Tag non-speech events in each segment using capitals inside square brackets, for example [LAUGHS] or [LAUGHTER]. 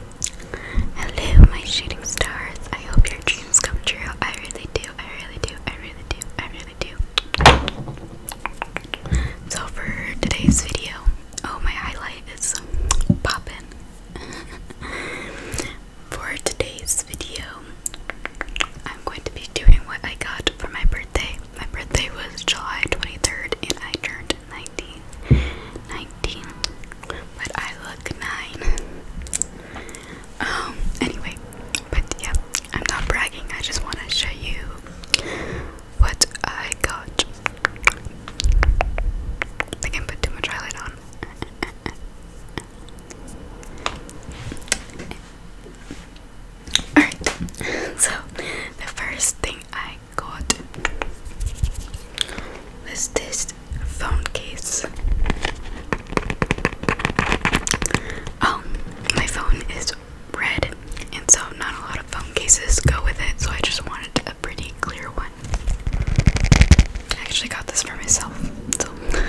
Hello, my shooting stars. I hope your dreams come true. I really do. I really do. I really do. I really do. So, for today's video, oh, my highlight is popping. [LAUGHS] for today's video, I'm going to be doing what I got for my birthday. My birthday was July 23rd, and I turned 19, but I look 9. Um, anyway, but yeah, I'm not bragging, I just want to show you what I got. I think I put too much highlight on. [LAUGHS] Alright, so the first thing I got Let's test phone case. Oh, my phone is red, and so not a lot of phone cases go with it, so I just wanted a pretty clear one. I actually got this for myself, so. [LAUGHS]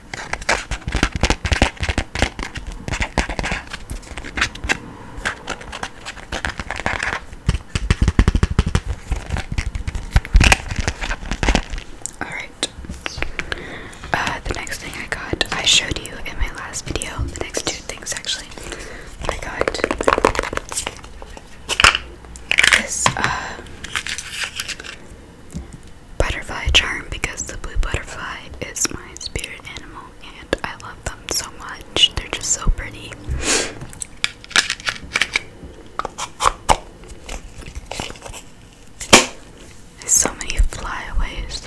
All right. Uh, the next thing I got, I showed you in my last video. The next two things, actually, I got this uh, butterfly charm because the blue butterfly is my spirit animal and I love them so much. They're just so pretty. so many flyaways.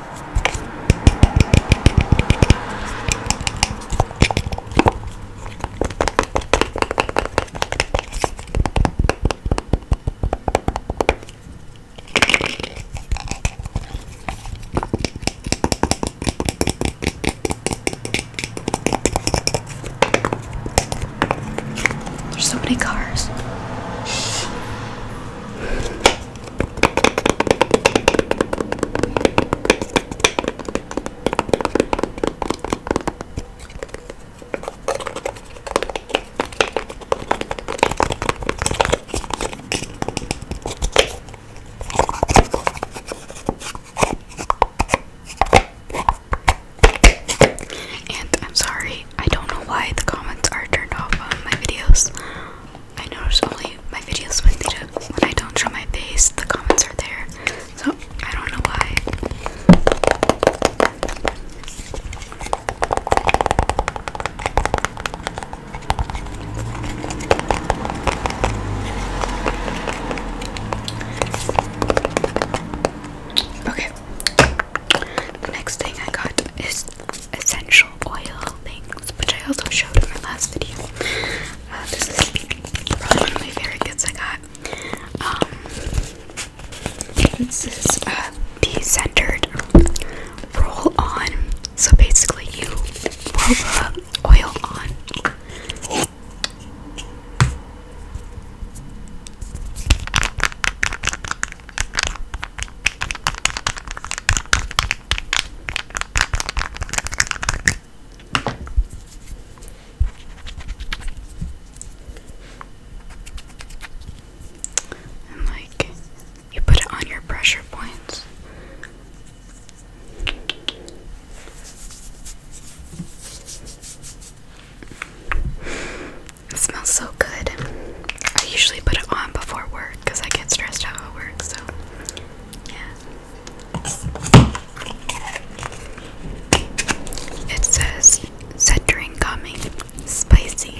There's so many cars. And I'm sorry, I don't know why the comments are turned off on my videos. I notice only my videos when, they when I don't show my face, the comments are there. So I don't know why. Okay. The next thing I got is essential oil things, which I also showed in my last video. Uh, this is probably one of my favorite gifts I got. Um, this is uh, the centered roll on. So basically, you roll the oil on. And like you put it on your pressure points. It smells so good. I usually put it on before work because I get stressed out at work, so yeah. It says Centering coming spicy.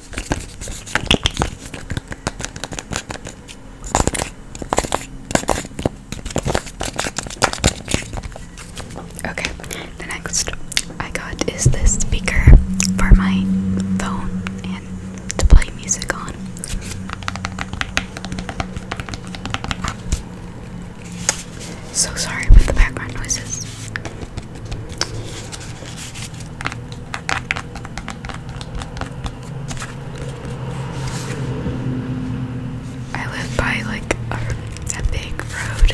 Okay, the next I got is this speaker for my phone and to play music on. So sorry about the background noises. I live by like a, a big road.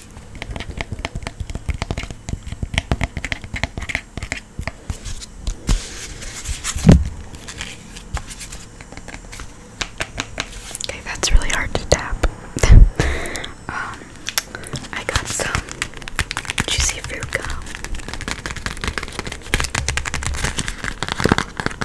Okay, that's really hard to tap. [LAUGHS] um, I got some juicy fruit gum.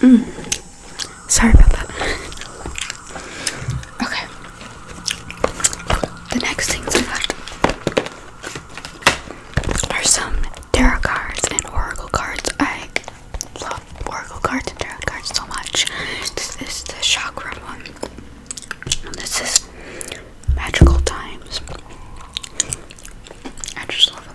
mm. Sorry about that. Okay. The next things we got are some tarot cards and oracle cards. I love oracle cards and tarot cards so much. This is the chakra one. And this is magical times. I just love them.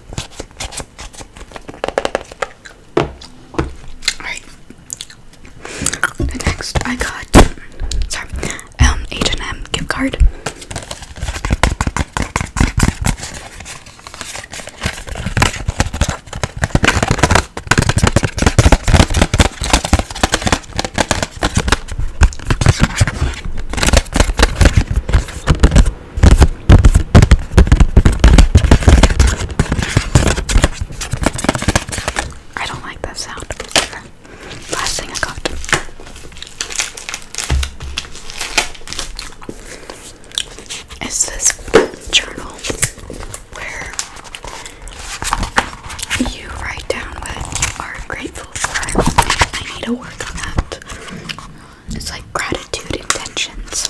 Alright. next I got sorry, um H&M gift card. I don't like that sound. Last thing I got. Is this journal where you write down what you are grateful for? I need to work on that. It's like gratitude intentions.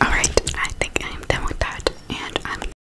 All right, I think I am done with that, and I'm